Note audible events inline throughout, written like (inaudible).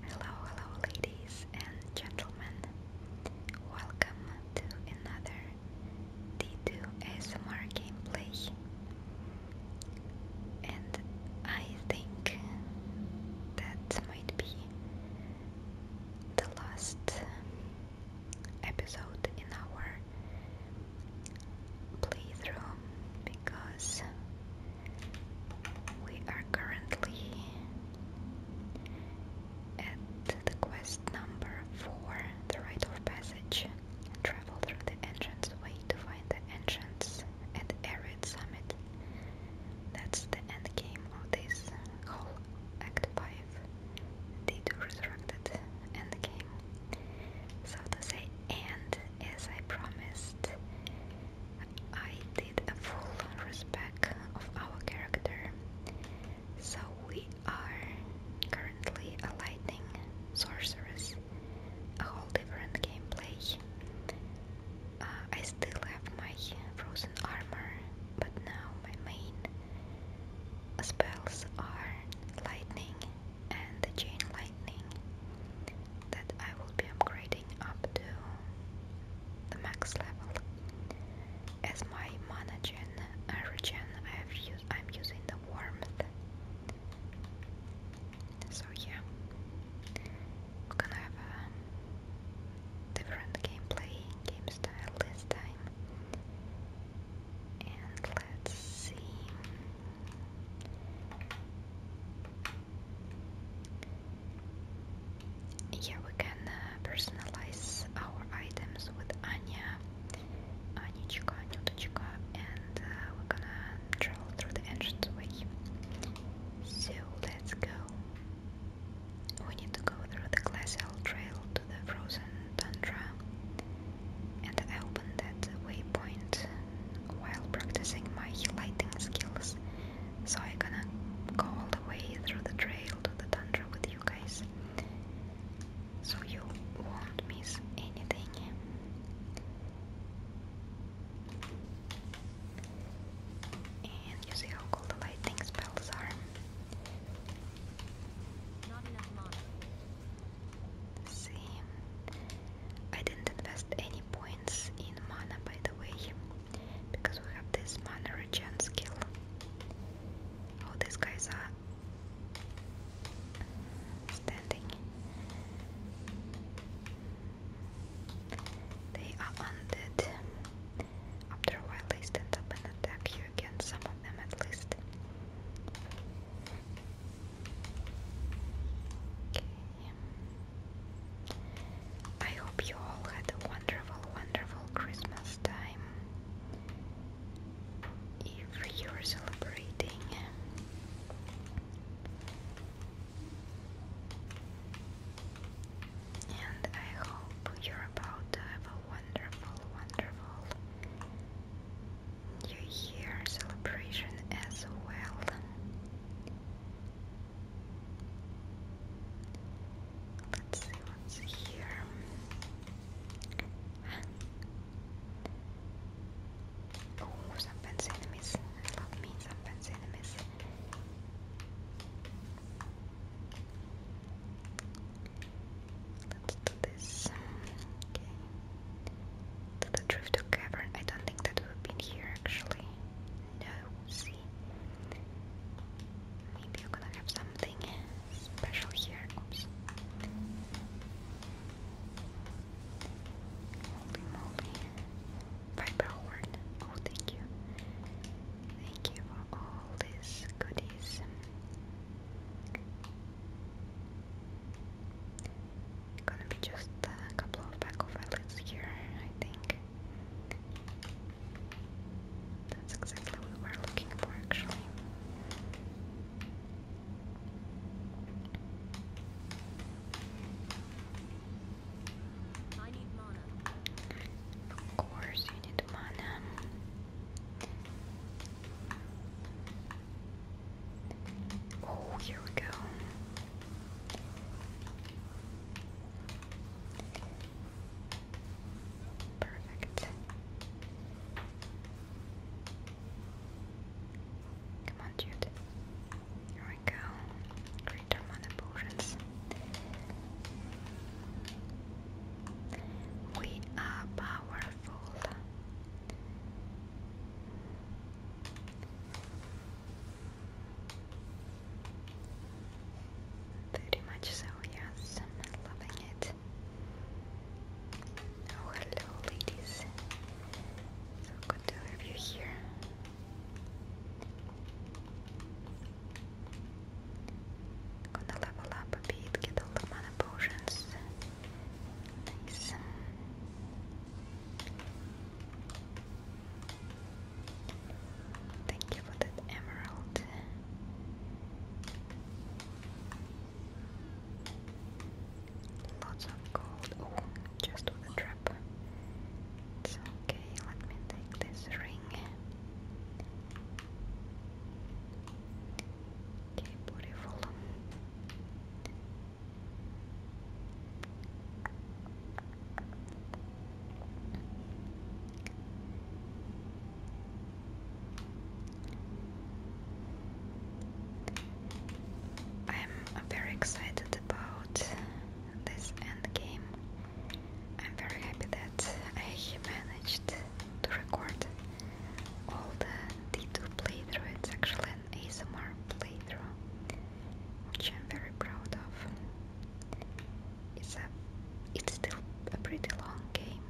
Hello, hello, ladies and gentlemen. Welcome to another D2 ASMR gameplay. And I think that might be the last episode in our playthrough because we are currently at the quest number 4, the Rite of Passage. Travel through the entrance way to find the entrance at Arid Summit. That's the end game of this whole Act 5 D2 Resurrected end game. So to say, and as I promised, I did a full respect of our character. So we are currently a lightning sorceress. A whole different gameplay. Uh, I still have my frozen armor, but now my main spells are lightning and the chain lightning that I will be upgrading up to the max level. As my mana gen origin, I've used, I'm using the warmth. So yeah, we're gonna have a different gameplay, game style this time. And let's see. Here we can uh, personalize our items with Anya, Anichka, Nutachka, and uh, we're gonna travel through the entrance way. So let's go. We need to go through the Glass glacial trail to the frozen tundra, and I opened that waypoint while practicing my lighting skills so I'm gonna go all the way through the trail to the tundra with you guys. So you won't miss anything. And you see how cool the lightning spells are. Not I didn't invest any points in mana by the way because we have this mana regen skill. all oh, these guys are standing. They are undead. After a while, they stand up and attack you again, some of them at least. Okay. I hope you all had a wonderful, wonderful Christmas time. If you're celebrating, and I hope you're about to have a wonderful, wonderful New Year celebration as well. Let's see what's here. Oh, some fancy enemies. I love some fancy enemies. Let's do this. Okay. To the drift cavern. I don't think that we've been here actually. No, see? Maybe you're gonna have something special here. Oops. Viper horn. Oh, thank you. Thank you for all these goodies. Gonna be just a couple of back of eyelids I think. That's exactly what we're looking for, actually. Of course, you need mana. Oh, here we go. Perfect. Come on, dude. Here we go. Greater mana We are powerful. Very much so, yes, loving it. Oh, hello, ladies. So good to have you here. Gonna level up a bit, get all the mana potions. Nice. Thank you for that emerald. Lots of gold. Oh, just with a It's okay, let me take this ring. Okay, beautiful. I'm very excited about this endgame. I'm very happy that I managed to record all the D2 playthrough. It's actually an ASMR playthrough, which I'm very proud of. It's a it's still a pretty long game,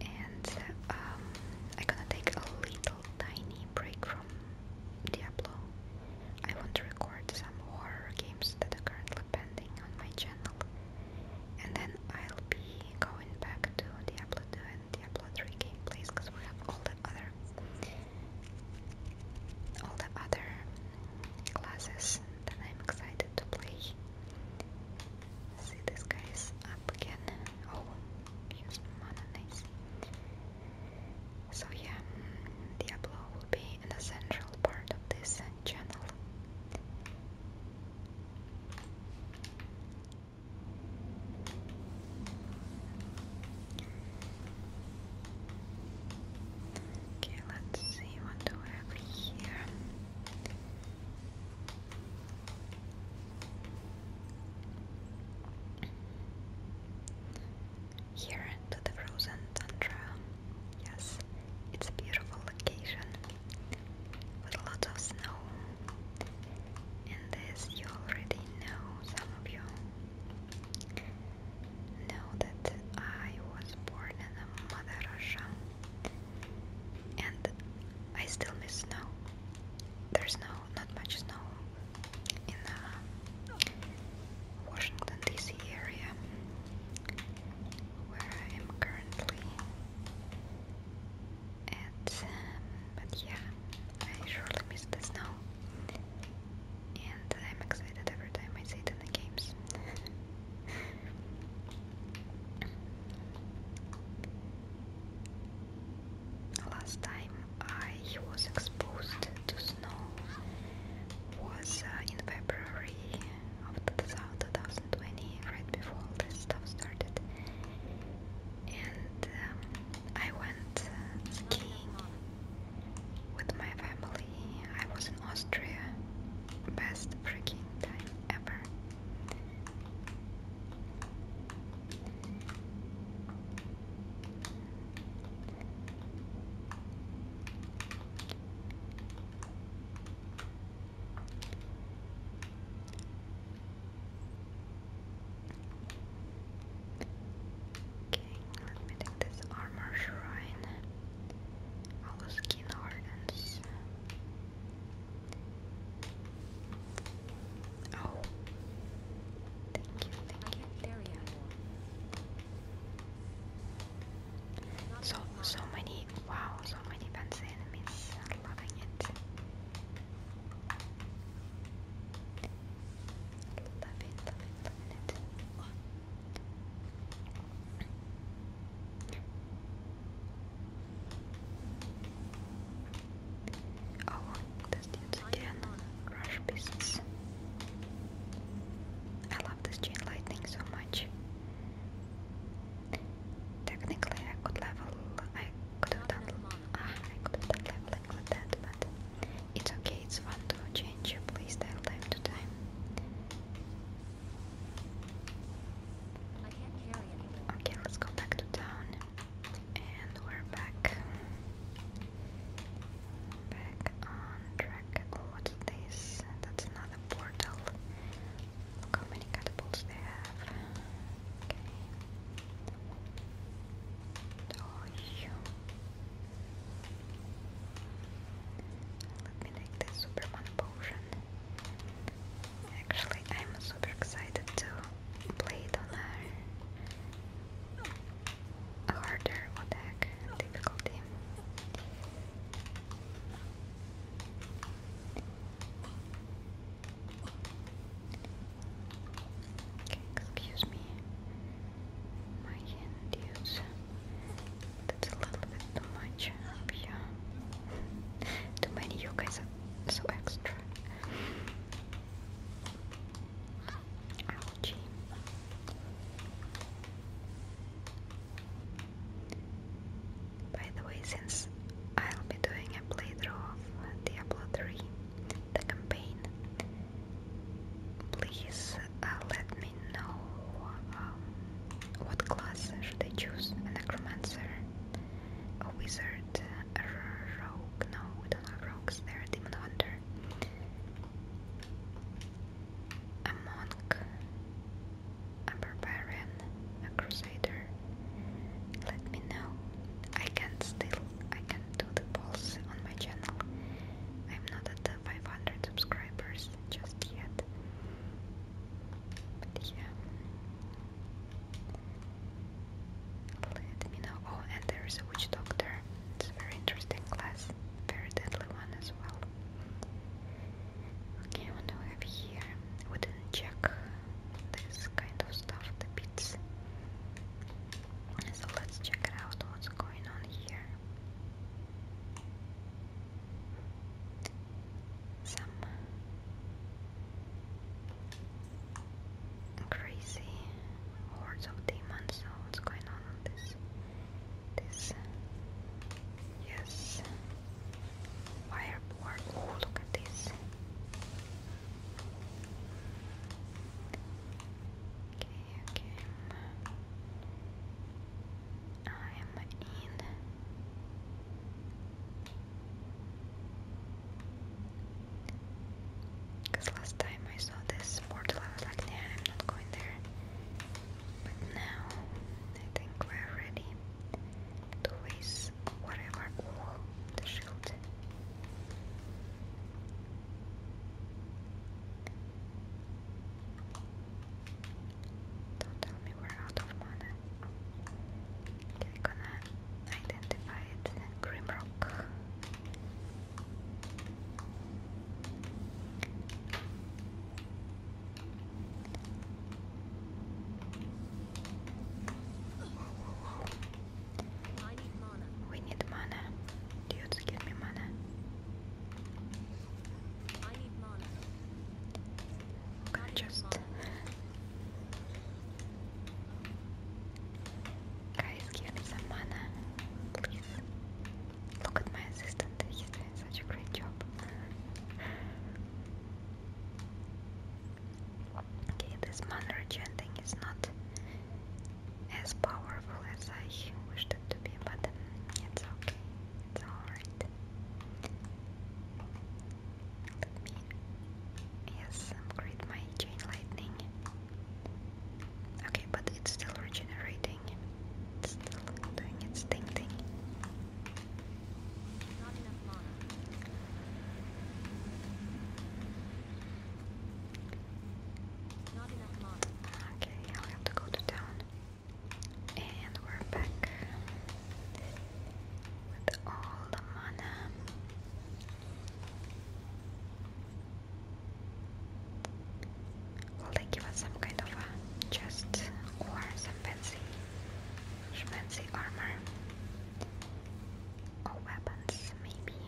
and I'm um, gonna take a little tiny break from Diablo. I want to record some horror games that are currently pending on my channel, and then I'll be going back to Diablo 2 and Diablo 3 gameplays because we have all the other all the other classes that I'm excited to play. See, this guy up again. Oh, use mana, nice. So, yeah, Diablo will be an essential part of this channel. Okay, let's see what do we have here. Here to the frozen tundra. Yes, it's a beautiful location with a lot of snow. And this you already know, some of you. Know that I was born in a mother Russia and I still miss snow. There's no not much snow in the uh, Washington DC area where I am currently at um, but yeah I surely miss the snow and I'm excited every time I see it in the games. Last time I was exposed to snow was uh, in February of 2020, right before this stuff started. And um, I went uh, skiing with my family. I was in Austria. Best freaking time ever. Okay, let me take this armor shrine. All skin organs. Oh. Thank you, thank you. So so many wow, so many fancy enemies. I'm loving it. Love it, love it, love it. Oh, this dude's again. Crush pieces. I love this chain lightning so much. Technically, I could level. I could have done. Ah, I could have done leveling with that, but it's okay, it's fun to change your playstyle time to time. Okay, let's go back to town. And we're back. Back on track. Oh, what's this? That's another portal. Look how many catapults they have. Okay. Oh, let me take this Superman potion. Actually, I'm super excited to play it on a harder attack difficulty. excuse me my hand use. That's a little bit too much. Yeah. (laughs) too many you so extra. Ouchie. By the way, since I'll be doing a playthrough of Diablo 3, the campaign, please uh, let me know um, what class should I choose? A necromancer, a wizard, a rogue? No, we don't have rogues. They're a demon hunter. A monk, a barbarian, a crusader. Let me know. I can still I can do the polls on my channel. I'm not at the 500 subscribers just yet. But yeah. Let know. Oh, and there is a witch doctor. It's a very interesting class. Very deadly one as well. Okay, what do we have here? We not check this kind of stuff, the bits. So let's check out what's going on here crazy hordes of demons. So what's going on on this? This yes, fireboard. Oh, look at this. Okay, okay. I'm in. Because last time I saw this portal, like, nah, I'm not going there. But now, I think we're ready to face whatever. the shield. Don't tell me we're out of mana. Okay, gonna identify it Grimrock. I need mana. We need give me mana. Okay, just guys, give me some mana, please. Look at my assistant; he's doing such a great job. okay, this mana regen is not as powerful as I wished to be, but it's okay, it's alright. Let me, yes, upgrade my chain lightning. Okay, but it's still regenerating. It's still doing its thing thing. Okay, i have to go to town. And we're back with all the mana. Will they give us some kind of a chest or some fancy, fancy armor? Or weapons, maybe?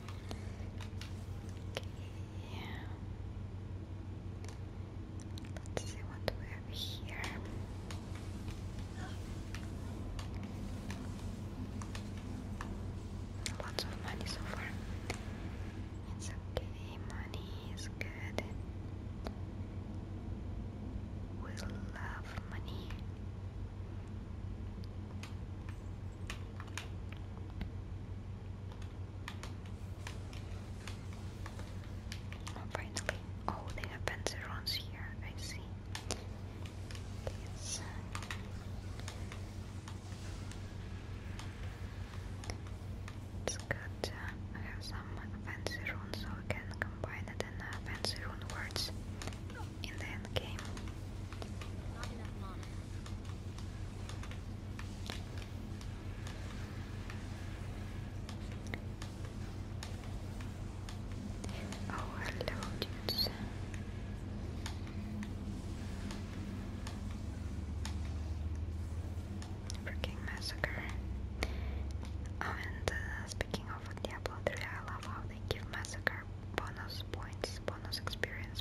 Okay. Let's see what we have here. Lots of money so far. It's okay, money is good. We love money finally. Oh, they have Panzerons here. I see. It's good. I have some fancy runes, so I can combine it in fancy uh, words in the end game. Oh, hello, dudes. Freaking massacre. Oh, and uh, speaking of Diablo 3, I love how they give massacre bonus points, bonus experience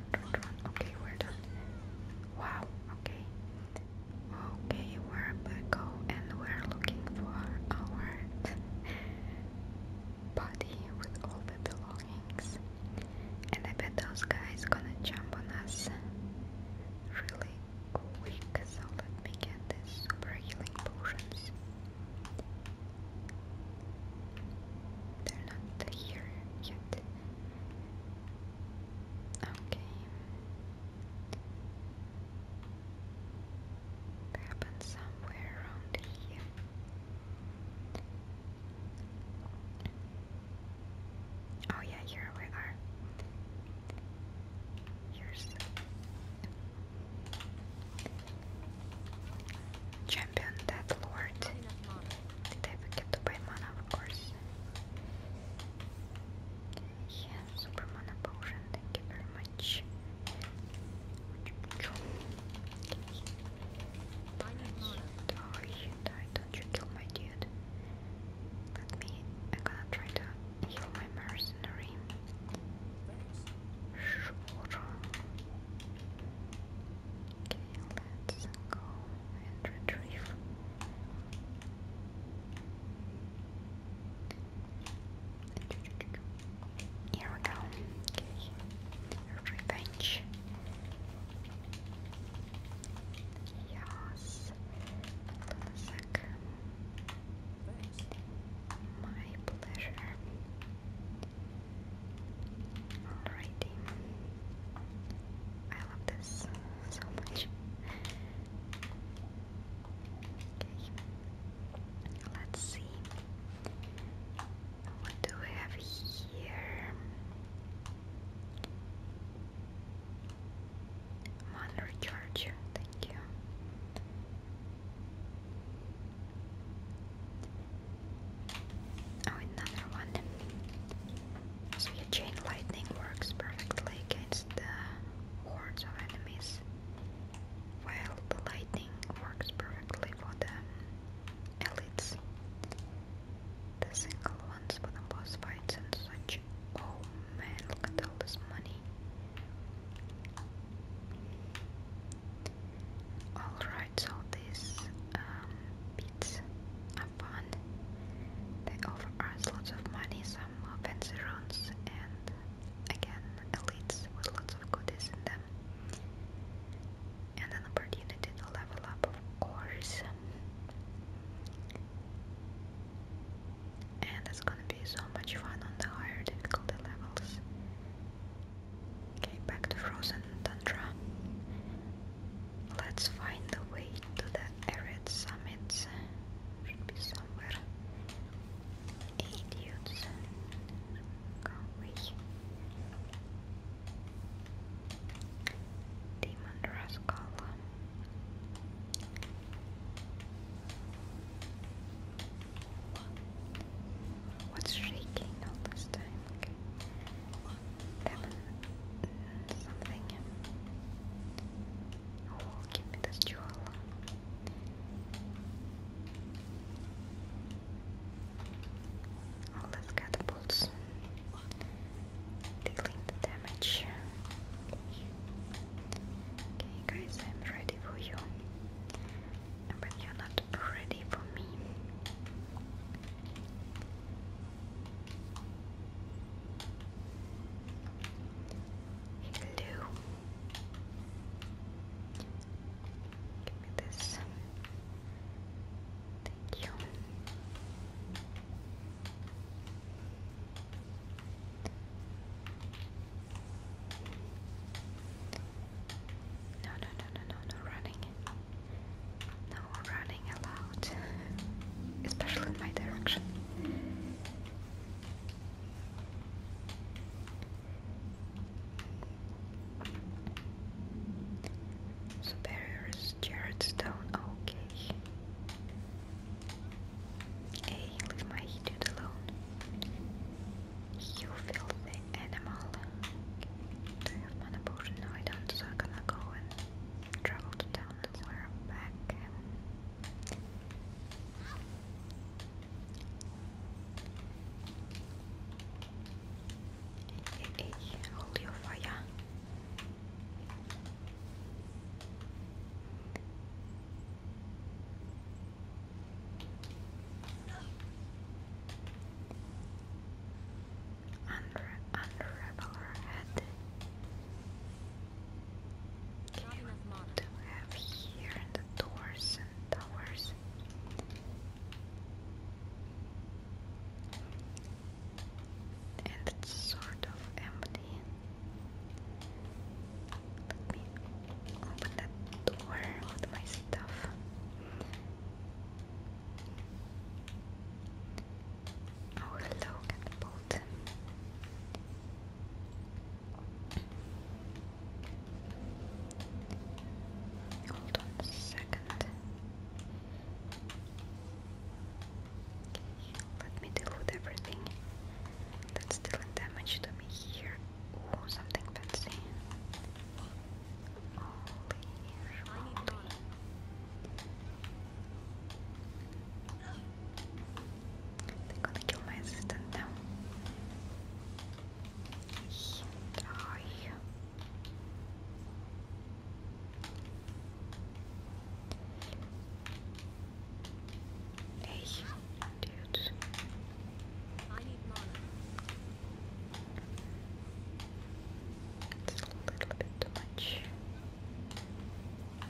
Okay, we're done. Wow, okay. Okay, we're back home and we're looking for our body with all the belongings. And I bet those guys gonna jump on us really quick, so let me get the super healing potions. They're not here yet. Okay. It somewhere around here. Oh yeah, here we are. Here's champion that I forget to buy mana? Of course. Yeah, super mana potion. Thank you very much. Don't you kill my dude. Let me. I'm gonna try to heal my mercenary let and retrieve. Here we go. Revenge. Yes. Hold on a My pleasure. Alrighty. I love this so much. Okay. Let's see. What do we have here? One recharge, thank you. Oh, another one. So your chain lightning works perfectly against the hordes of enemies, while the lightning works perfectly for the elites, the single ones for the boss fights and such. Oh man, look at all this money. Alright parts of these um, beads fun. They offer us lots of money, some fancy uh, runes, and again, elites with lots of goodies in them. And an opportunity to level up, of course. And it's gonna be so much fun on the higher difficulty levels. Okay, back to Frozen Tundra. Let's find the way to the arid summits. Should be somewhere. Idiots. Go away. Demon rascal. What's shaking all this time? something. Oh, give this jewel. Oh, the bolts. Dealing the damage. Okay, guys, I'm ready for you. But you're not ready for me. Blue. Give me this. Thank you. No, no, no, no, no, no running. No running allowed, (laughs) especially in my direction. Superior is Jared Stone, okay. Hey, leave my dude alone. You filthy animal. Do you have mana potion? No, I don't, so I'm gonna go and travel to town and we're back. Hey, hey, hey, hold your fire. Unra unravel her head. what do we have here in the doors and towers? And it's sort of empty. Let me open that door with my stuff. Oh look at the Hold on a second. Let me deal with everything that's still in damage to me here. Ooh, something fancy. Tem quando que eu mais estantão? Ai. Hey, dude. I need mana. It's a little bit too much.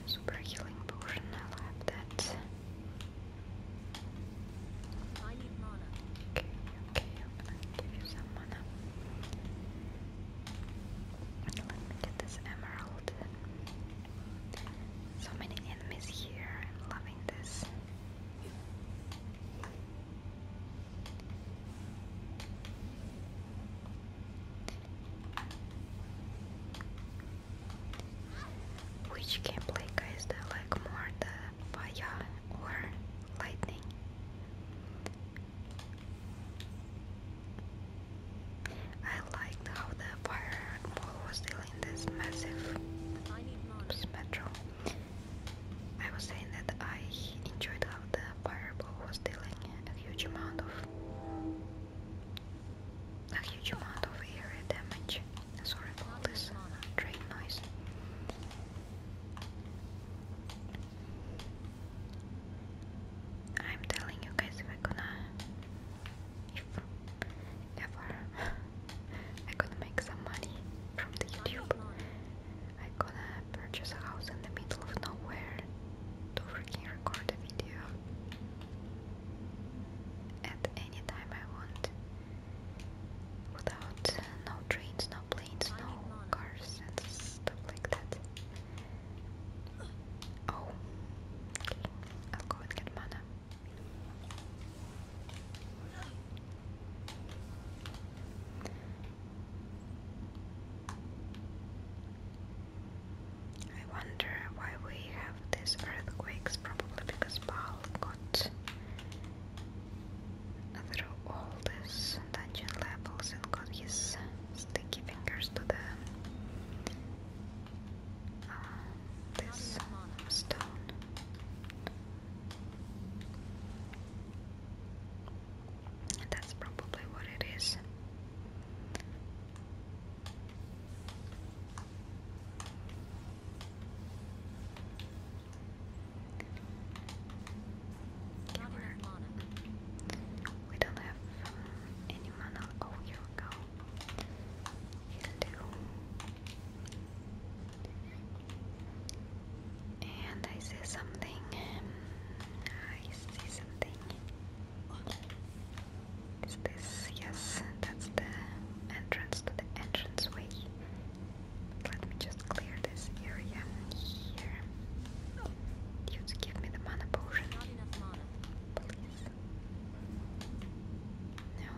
Super healing potion, I'll have that. Okay, okay, I'm give you some mana. Let me get this emerald. So many enemies here, I'm loving this. Which gameplay guys do you like more, the fire or lightning? I liked how the fire ball was dealing this massive metro. I was saying that I enjoyed how the fireball was dealing huge amount of a huge amount of area damage. Sorry for this train noise. I'm telling you guys if I gonna if ever I could (laughs) make some money from the YouTube I am gonna purchase a house in the middle of nowhere to freaking record a video at any time I want without uh, no trains, no planes, no cars and stuff like that. Oh, okay. I'll go and get mana. I wonder why we have these earthquakes, probably because Baal got through all these dungeon levels and got his sticky fingers to the um, this stone. That's probably what it is. we don't have um, any mana. here go. He'll do. And I see something. Um, I see something. Is this? Yes, that's the entrance to the entranceway. Let me just clear this area here. You to give me the mana potion. Please. No.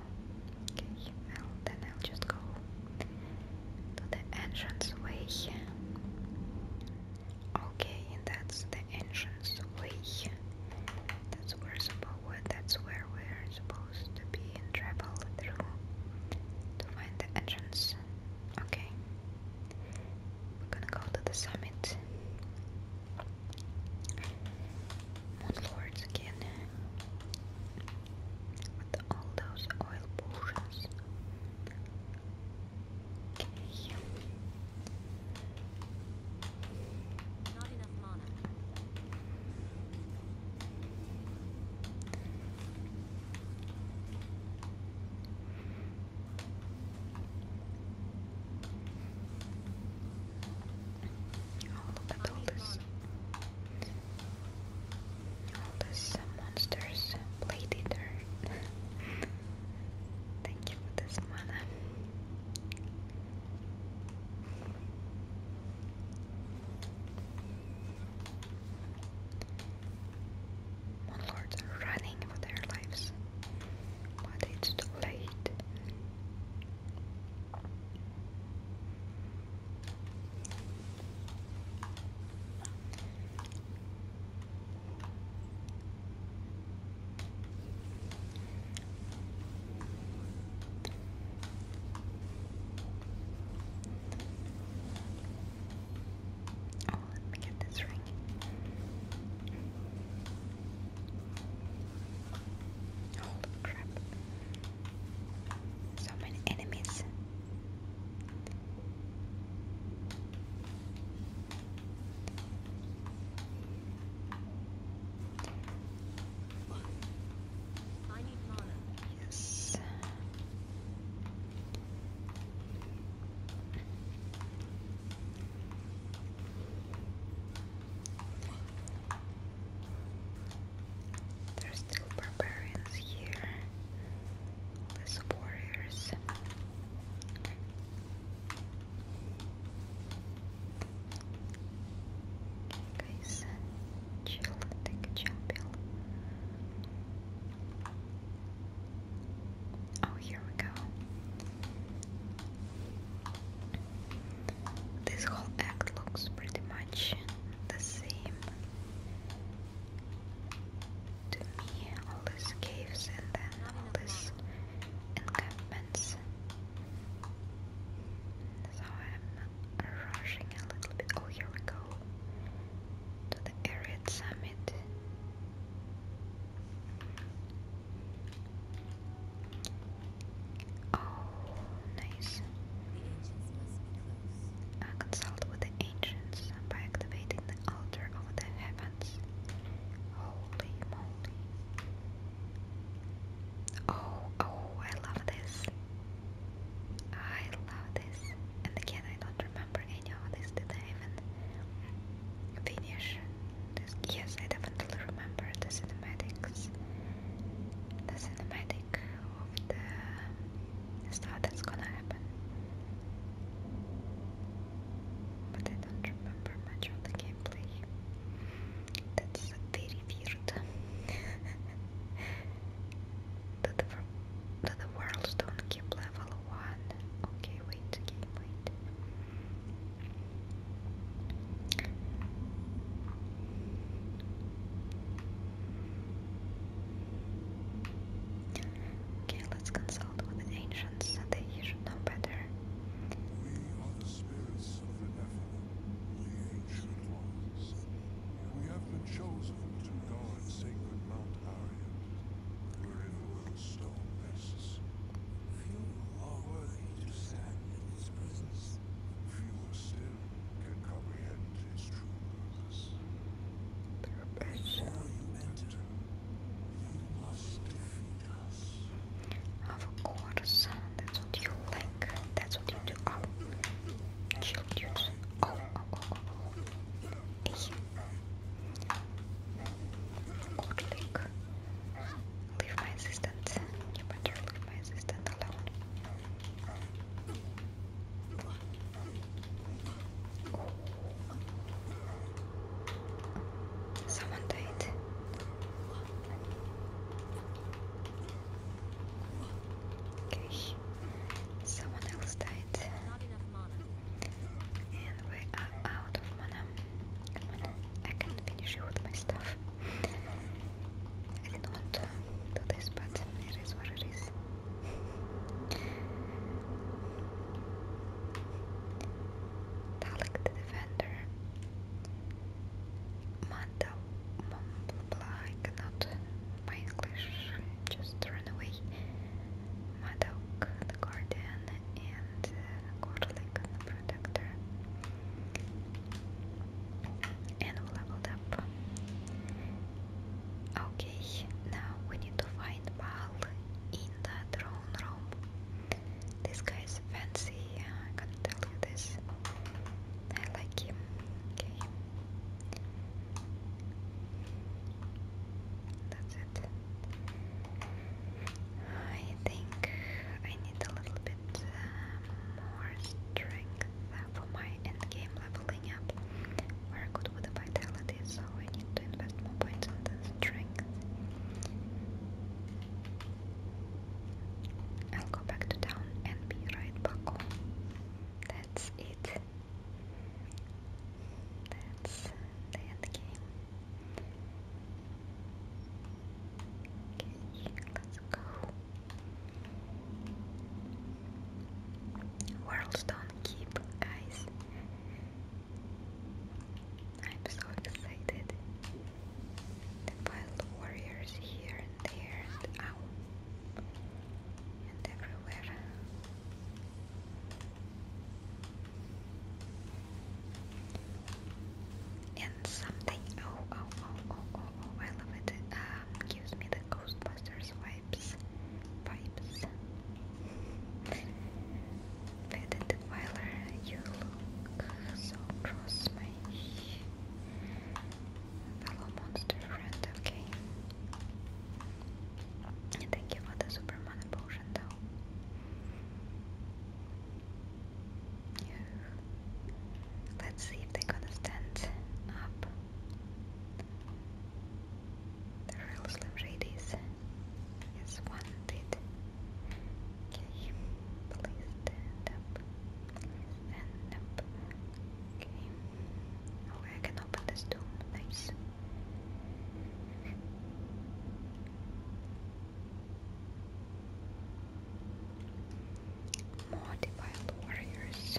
Okay, well then I'll just go to the entranceway. Okay, and that's the entrance way. That's where supposed that's where we're supposed to be and travel through to find the entrance. Okay. We're gonna go to the summit. Moon Lords again. With all those oil potions. Oh, look at all this. All this uh, monsters. Blade Eater. Thank you for this mother. Monlords are running for their lives, but it's too late. Oh, let me get this ring. Holy crap. So many enemies. Yes. There's still barbarians here. Less warriors. Guys, chill, take a chill Oh, here we go. This whole act looks pretty much the same. To me, all these caves and then all these encampments. So I'm rushing a little bit. Oh, here we go to the Ariad Summit. Oh, nice. consult with the ancients by activating the altar of the heavens. Holy moly. Oh, oh, I love this. I love this. And again, I don't remember any of this. Did I even finish this? Yes, I definitely remember the cinematics. The cinematic of the stuff that's gonna happen but I don't remember much of the gameplay. That's very weird. (laughs) to, the, to the world don't keep level 1. Okay, wait, okay, wait let's consult with the ancients, they should know better. We are the spirits of the Nephilim, We have been chosen to guard sacred Mount Arian, wherein the little stone rests. Few are worthy to stand in its presence. Fewer still can comprehend its true purpose. Of course, that's what you like. That's what you do. Oh, chill, dude. Oh, oh, oh, oh. Hey. Oh. Orlick. Leave my assistant. You better leave my assistant alone. Oh. Someone died. Okay. Someone else died. And we are out of mana. I can finish you my stuff. I not want to it is what it is. (laughs) Dalek the Defender. Manta I cannot, my English just ran away. Madoc the Guardian and uh, Gorlick the Protector. And leveled up. Okay, now we need to find Baal in the throne This guy is fancy, I gotta tell you this. I like him. Okay. That's it. I think I need a little bit uh, more strength uh, for my endgame leveling up. We're good with the vitalities. I need to invest more points on the strength. I'll go back to town and be right back That's it. That's the end game. Okay, let's go. Worlds keep, guys. I'm so excited. The wild warriors here and there and out and everywhere. And something, oh, oh, oh, oh, oh, oh, I love it. Um, gives me the Ghostbusters vibes. Vibes. Lady Defiler, you look so cross, my fellow monster friend, okay? thank you for the Superman potion, though. Let's see if they're gonna stand up. The real Slim Shadies. Yes, one Can you please stand up? up. Okay. Oh, I can open this too. Nice. More defiled warriors.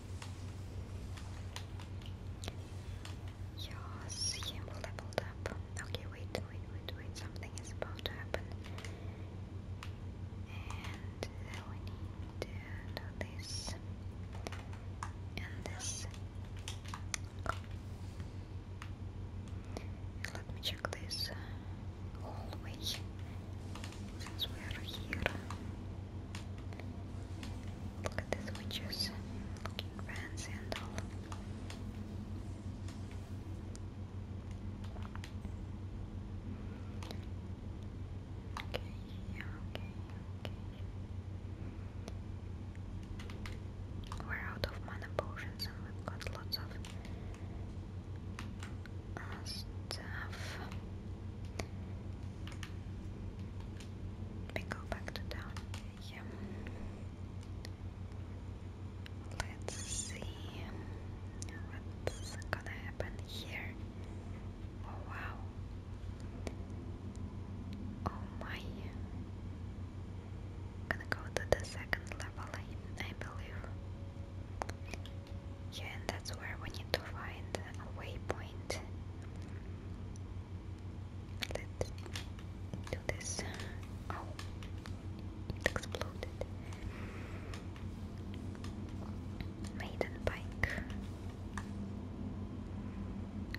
Yes, CM leveled up. Okay, wait, wait, wait, wait. Something is about to happen. And uh, we need uh, to do this. And this. Let me check this hallway. Since we are here. Look at these witches looking fancy and all. Okay, yeah, okay, okay. We're out of mana potions and we've got lots of uh, stuff. Let go back to down here. Let's see what's gonna happen here. Oh wow. Oh my. gonna go to the second level, I believe. Yeah, and that's where we need to find a waypoint right let's do this oh it exploded maiden bike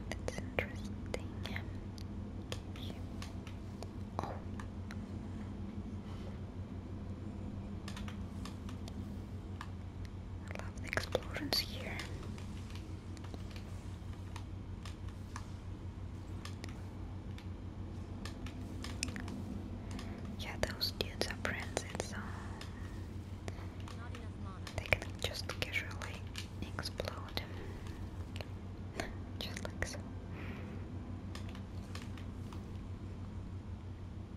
that's interesting okay. oh I love the explosions here. Yeah, those dudes are friends, so um, they can just casually explode. (laughs) just like so.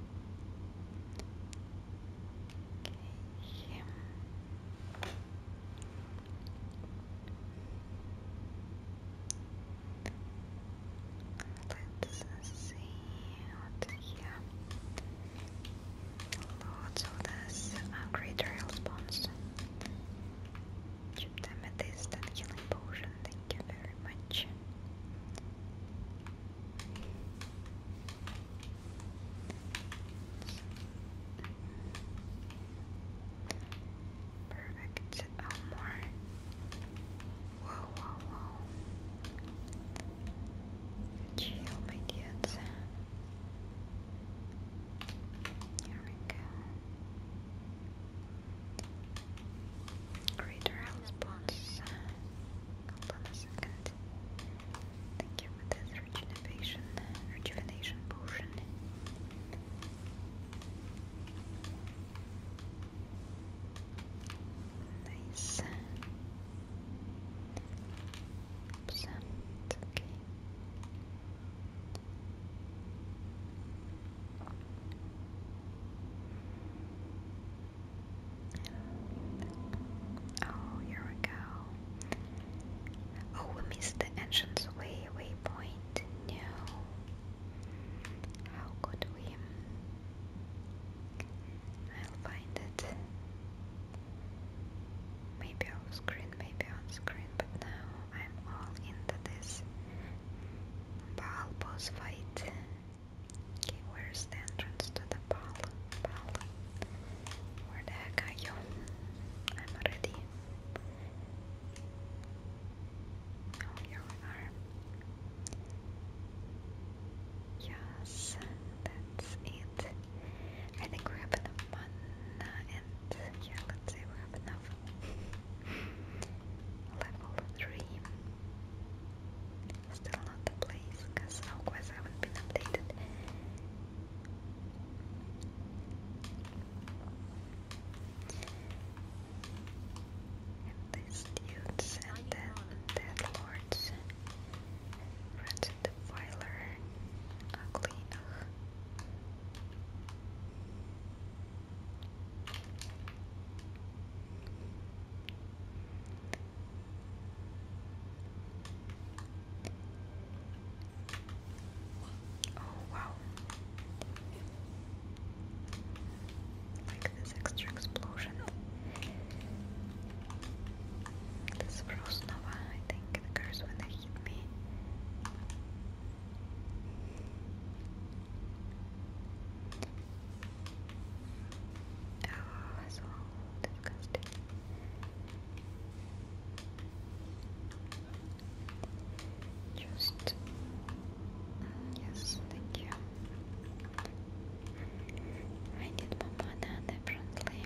Let's see what's here. Lots of this uh, great spawns. Chip them at this healing potion, thank you very much. Perfect. Oh, more. Whoa, whoa, whoa. Chill, my dudes. Here we go. Greater health spots. Hold a second. Thank you for this rejuvenation, rejuvenation potion. Nice. Oops, okay. Oh, here we go. Oh, we missed the entrance way, waypoint. No. How could we? I'll find it. Maybe off screen, maybe on screen, but now I'm all into this Baal boss fight. Okay, where's the entrance to the Paula, Paula. Where the I'm already. Oh, here we are. Yes, that's it. I think we have enough mana and yeah, let's say we have enough. Level 3 still not the place because otherwise I haven't been updated. these dudes and then dead lords. Ratchet Defiler. Ugly. Oh, wow. Like this extra explosion. This frost nova, I think, occurs when they hit me. Oh, so disgusting. Just mm, yes, thank you. I need my banana apparently.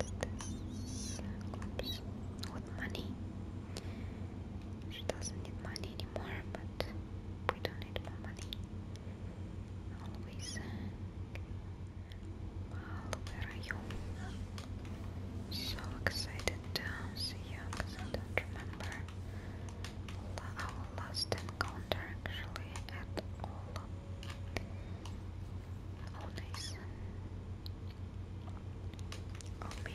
Oops. Uh, with money. She doesn't need money anymore, but we don't need more money. Always. Wow, uh, where are you? So excited to see you because I don't remember our last encounter actually at all. Oh, Oh man.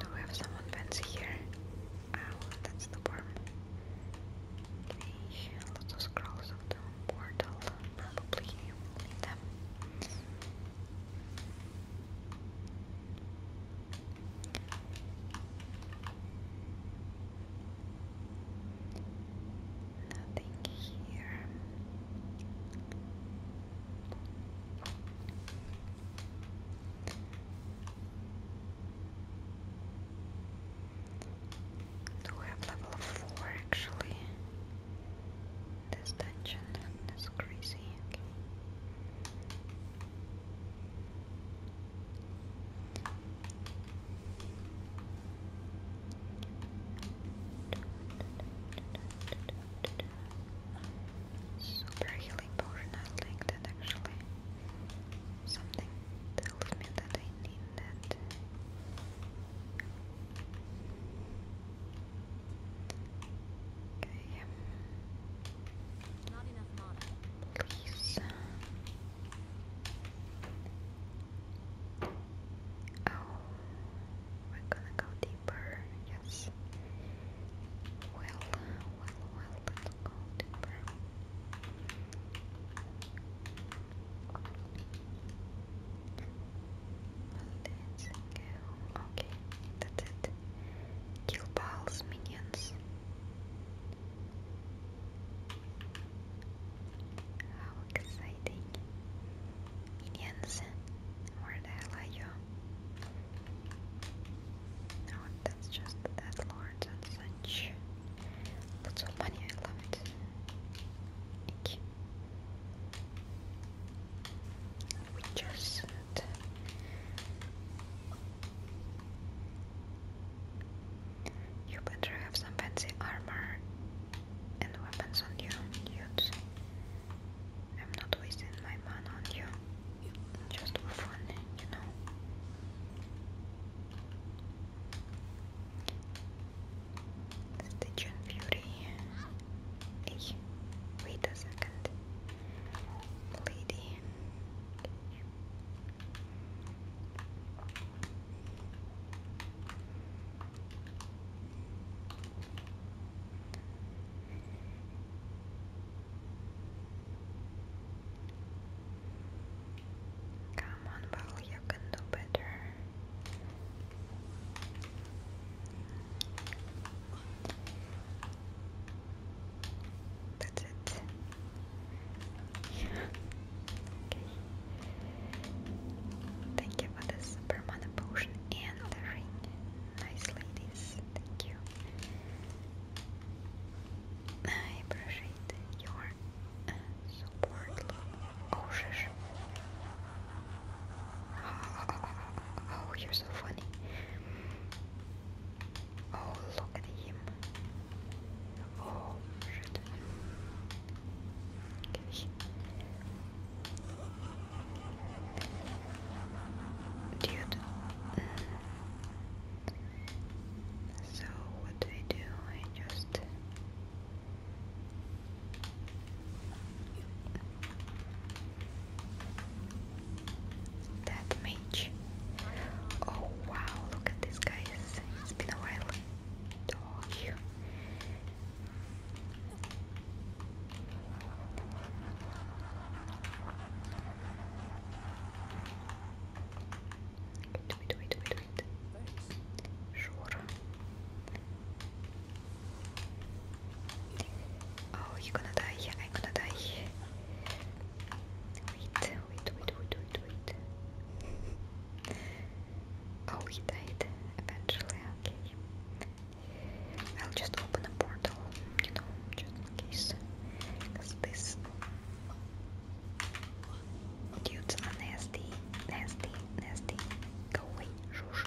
Do we have someone fancy here? Ow, oh, that's the worm. Okay, lots of scrolls of the portal. Probably you Nothing here. Do we have level four actually? This dungeon is crazy. Super healing potion, I like that actually. Something tells me that I need that. Okay. Not enough mana. Please. Oh, we're gonna go deeper, yes. Well, well, well, let's go deeper. Let's go. Okay, that's it. Kill Ball's minions. How exciting! Indians. Where the hell are you? No, oh, that's just that lords and such. Lots of money, I love it. Thank you. We just said. You better have some fancy armor and weapons on you, dudes. I'm not wasting my money on you, just for fun, you know. Stitch and wait a second. Lady. Come on, well, you can do better. That's it. Thank you for this super potion and the ring. Nice ladies, thank you. I appreciate your uh, support. Oh, Oh, you're so funny. Oh, look at him. Oh, Dude. Mm. So what do I do? I just that mage. Oh wow, look at this guy. It's been a while. Oh, Wait, wait, wait, wait, wait. Sure. Oh, you're gonna die. I'm gonna die. Wait, wait, wait, wait, wait, Oh, he died eventually, okay. I'll just open a portal, you know, just in case. this dudes nasty, nasty, nasty. Go away, shush.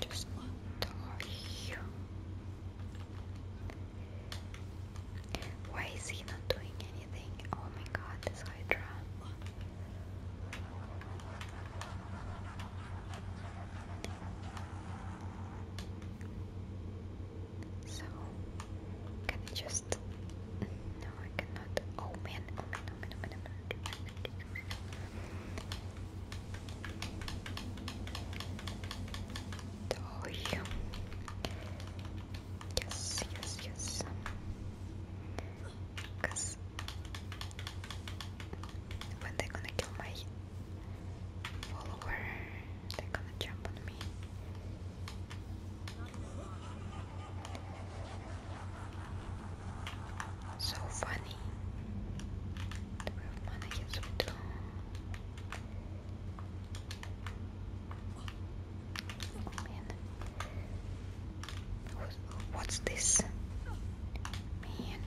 Just die. Why is he not doing anything? Oh my god, this Hydra. So, can I just. No, I cannot. Oh man, oh man, oh man, oh man, oh man. Oh, oh, oh, oh you. Yes, yes, yes. Cause when they gonna kill my follower, they gonna jump on me. So funny. Do we have mana? Yes, we do. What's this? Man.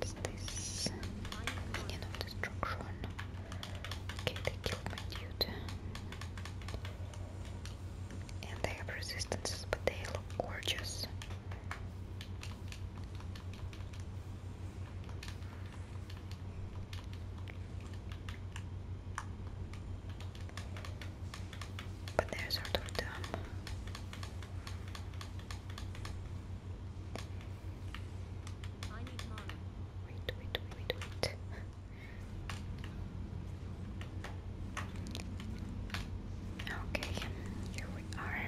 What's Minion of destruction. Okay, they killed my dude. And they have resistances, but they look gorgeous. But they're sort of dumb. I Wait, wait, wait, wait. okay, here we are.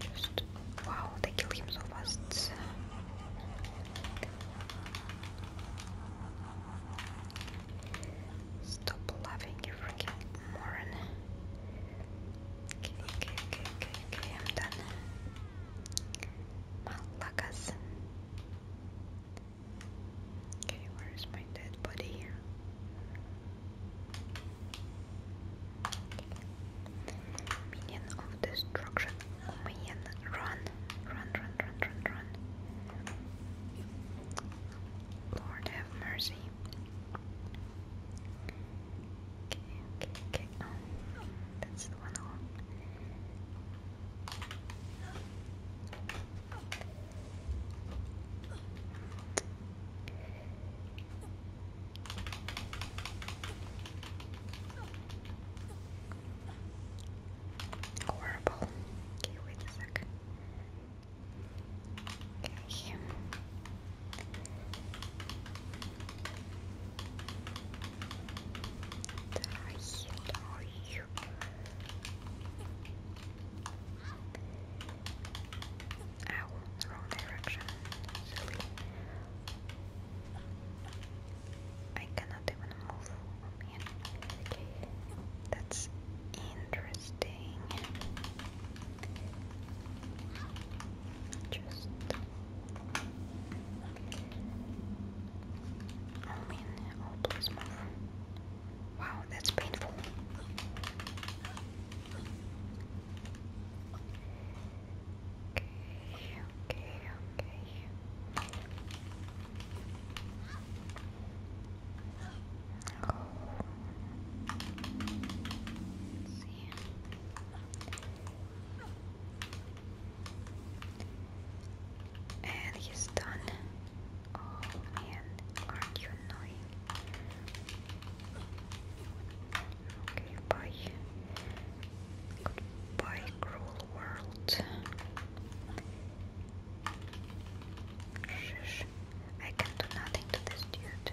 Just wow, they kill him so fast. Stop laughing, you freaking moron. Okay, okay, okay, okay, okay, I'm done. Malakas. Okay, where is my dead body here? Okay destruction run, run, run, run, run, run. Lord have mercy. Okay, okay, okay. Oh, that's one Horrible. Okay, wait a sec. Okay. Die, die. Ow, wrong direction. Silly. I cannot even move That's interesting. Just I mean, please move. Wow, that's painful okay, okay. Oh. let And he's done. Oh man, aren't you annoying? Okay, bye. Goodbye, cruel world. I can do nothing to this dude.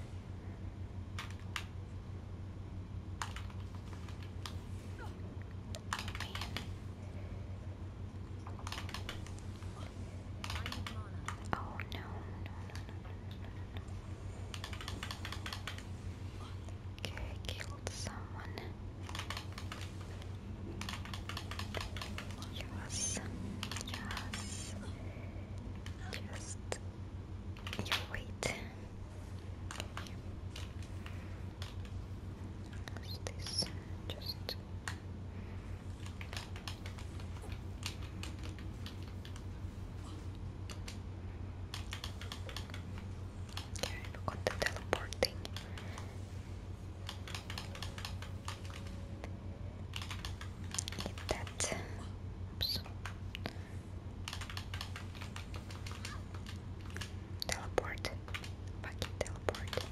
Oh, no. Okay, killed someone. Yes, yes. Just you wait. What's this? Just. Okay, I forgot the teleporting. Get that. Oops. Teleport. Fucking teleport.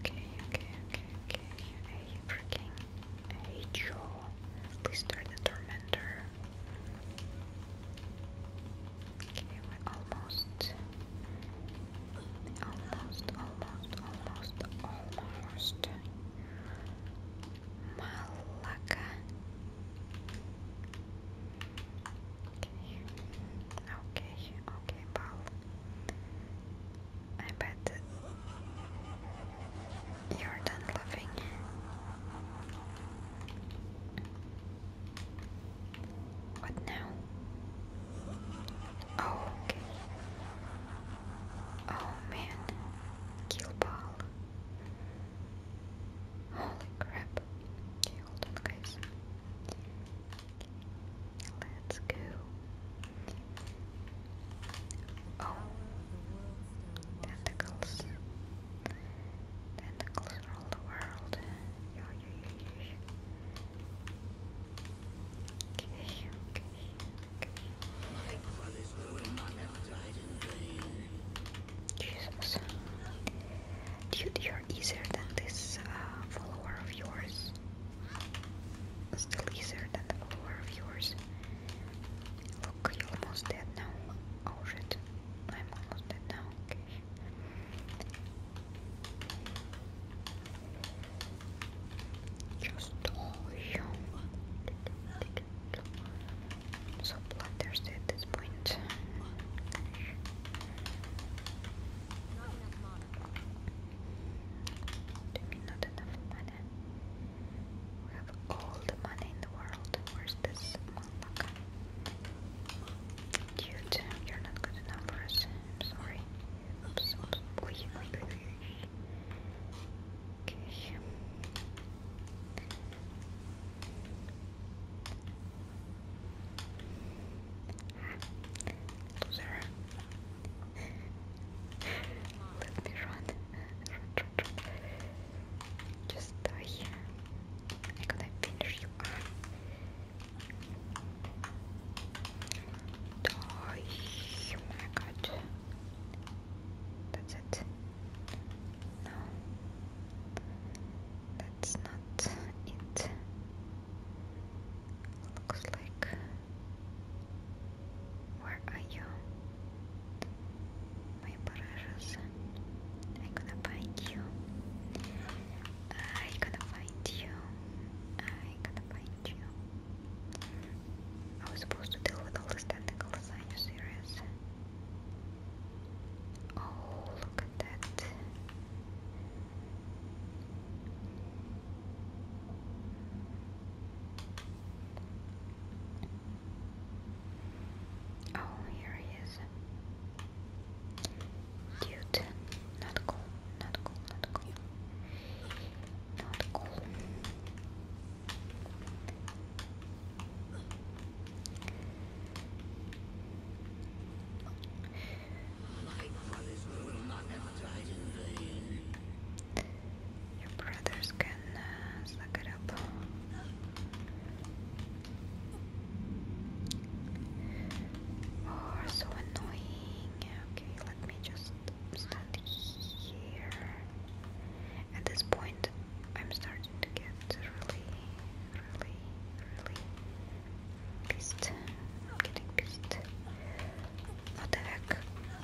Okay, okay, okay, okay. Are you freaking? Rachel, Lister the Tormentor. Okay, we're almost, almost, almost, almost, almost. Malacca. Okay, okay, okay, Paul. I bet you're done laughing. What now? Oh, okay. Oh man, kill ball. Holy crap. Okay, guys. Let's go. Oh, Tentacles. Tentacles rule the world. Jesus. Dude, you're easier than this uh, follower of yours. Still easier than the follower of yours. Look, you're almost dead now. Oh shit, I'm almost dead now. Just all you so bloodthirsty at this point. Not enough money. We have all the money in the world. Where's this Malaka? Dude, you're not good enough for us. I'm sorry. Oops, oops. Okay. Loser. Let me run. Just die here. I could have finished you Die. Oh my god. That's it. No. That's not it. Looks like. Where are you? my precious, I'm gonna find you. I'm gonna find you. I'm gonna find you. I was supposed to deal with all this technical design you Oh, look at that. Oh, here he is. Dude, not cool, not cool, not cool. Not cool. Your brothers can can uh, suck it up. Oh, so annoying. Okay, let me just stand here. At this point, I'm starting to get really, really, really pissed. I'm getting pissed. What the heck?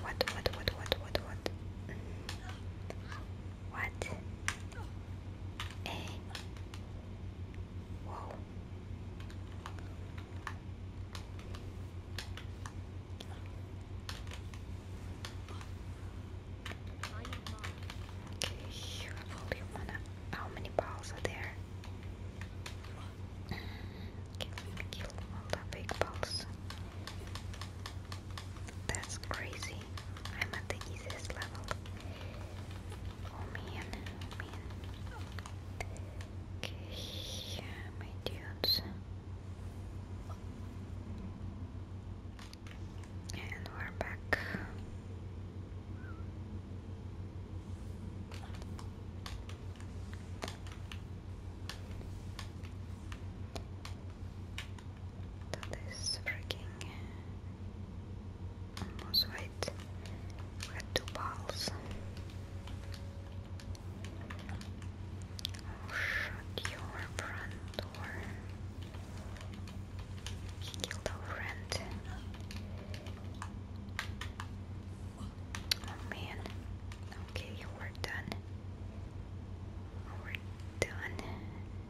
What, what, what, what, what, what? What? A. Whoa. Okay, How many balls are there? kill all the big balls. That's crazy. I'm at the easiest level. Oh man, oh man. Okay, my dudes. And we're back. That is freaking almost right. We had two balls. Oh, shut your front door. killed our friend. Oh man. Okay, we're done. We're done.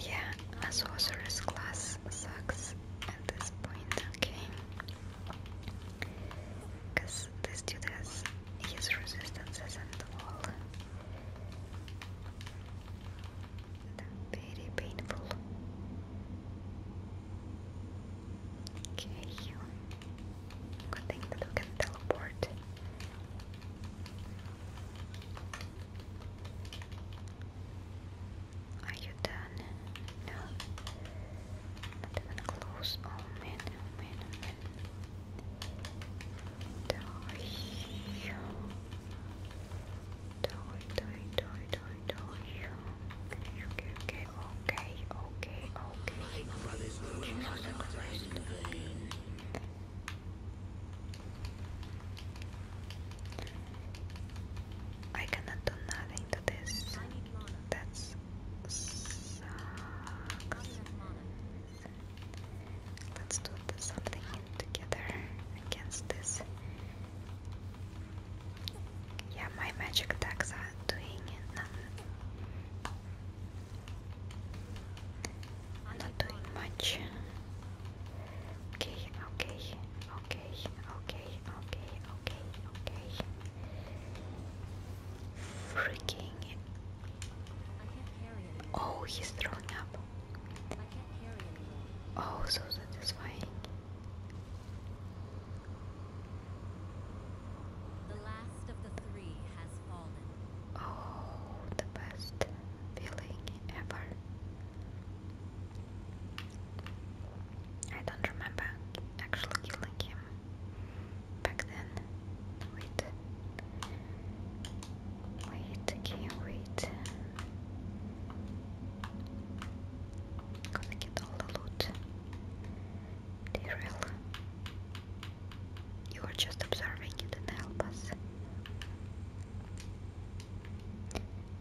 Yeah, a sorcerer's class sucks at this point, okay? Because this dude has his resistances and all. Very painful. Okay, good thing that we can teleport. Are you done? No. Not even close. Oh man, oh man, oh man. Die. Die, die, die, die, die. Okay, okay, okay, okay, okay. Jesus Christ. I cannot do nothing to this. That's sucks. Let's do something together against this. Yeah, my magic attacks are doing nothing. Not doing much. Okay, okay, okay, okay, okay, okay, okay. Freaking. Oh, he's throwing up. Oh, so satisfying. The last Oh, the best feeling ever. I don't remember actually killing him back then. Wait. Wait, can wait? Gonna get all the loot. Daryl. You are just observing it and help us.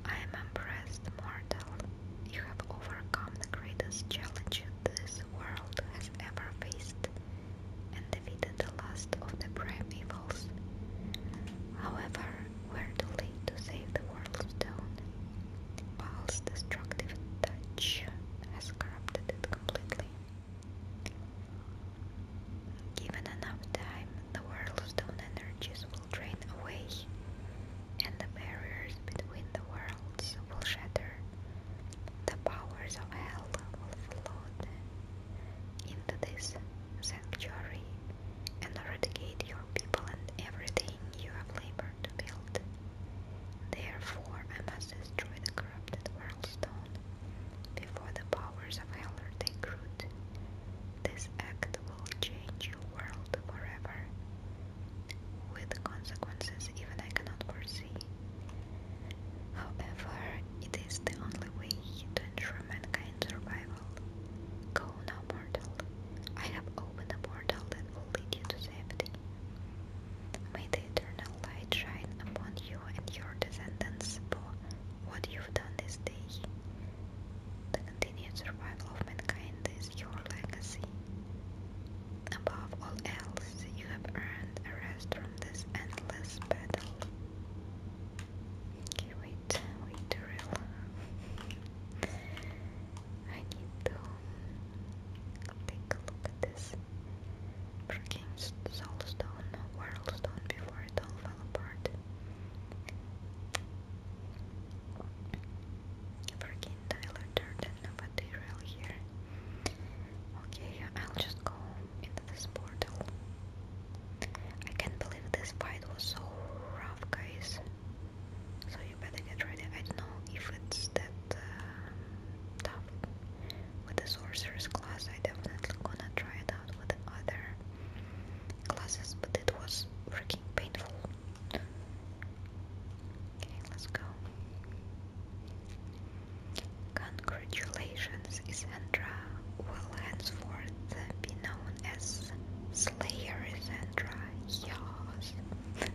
I am impressed, mortal. You have overcome the greatest challenge this world has ever faced and defeated the last of the prime evils. However, we're too late to save the world's stone. Paul's destructive touch has corrupted it completely. Given enough time, the Whirlstone energies will drain away, and the barriers between the worlds will shatter. The powers of hell will flood into this sanctuary and eradicate your people and everything you have labored to build. Therefore, I must destroy the corrupted Whirlstone before the powers of hell take root this act will change your world forever, with consequences even I cannot foresee. However, it is the only way to ensure mankind's survival. Go now, mortal. I have opened a portal that will lead you to safety. May the eternal light shine upon you and your descendants for what you've done this day. The continued survival of mankind is your legacy. Above all else, you have earned a rest from this endless battle. Okay, wait, wait, drill. (laughs) I need to take a look at this. Freaking soulstone, worldstone before before fell apart. Forget Tyler Durden, nobody real here. Okay, I'll just go into this portal. I can't believe this fight was so rough, guys. So you better get ready. I don't know if it's that um, tough with the sorcerer's class. I definitely gonna try it with other classes, but it was freaking painful. Okay, let's go. Congratulations, Isandra will henceforth be known as Slayer Isandra. Yes. (laughs)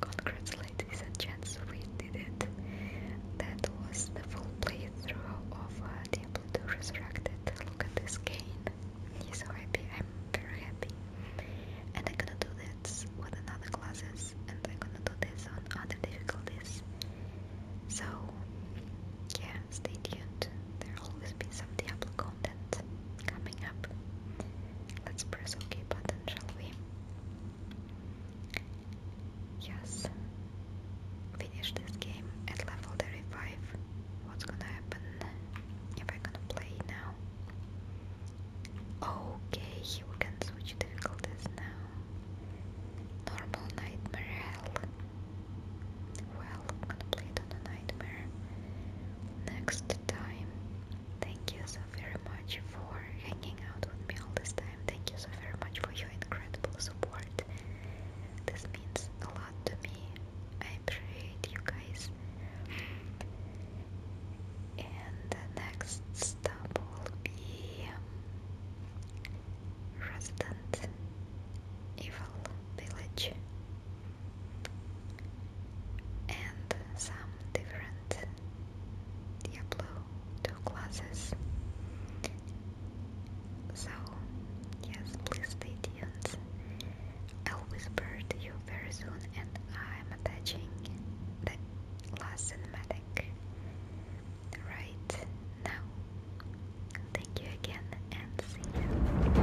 Congratulations, ladies and gents, we did it. That was the full playthrough of uh, Deep to resurrect it. Look at this cane. He's so happy. I'm very happy. And I'm gonna do this with another classes, and I'm gonna do this on other difficulties. So, yeah, stay tuned. There'll always be some Diablo content coming up. Let's press OK button, shall we? Yes, finish this game at level 35. What's gonna happen if I gonna play now? Okay, we can switch difficulties now. Normal nightmare hell. Well, I'm gonna play it nightmare next time. Thank you so very much for hanging out with me all this time. Thank you so very much for your incredible support. This means a lot to me. I appreciate you guys. And the next stop will be um, Resident Evil Village and some different Diablo 2 classes. So, yes, please stay tuned. I'll whisper to you very soon, and I'm attaching the last cinematic right now. Thank you again, and see you.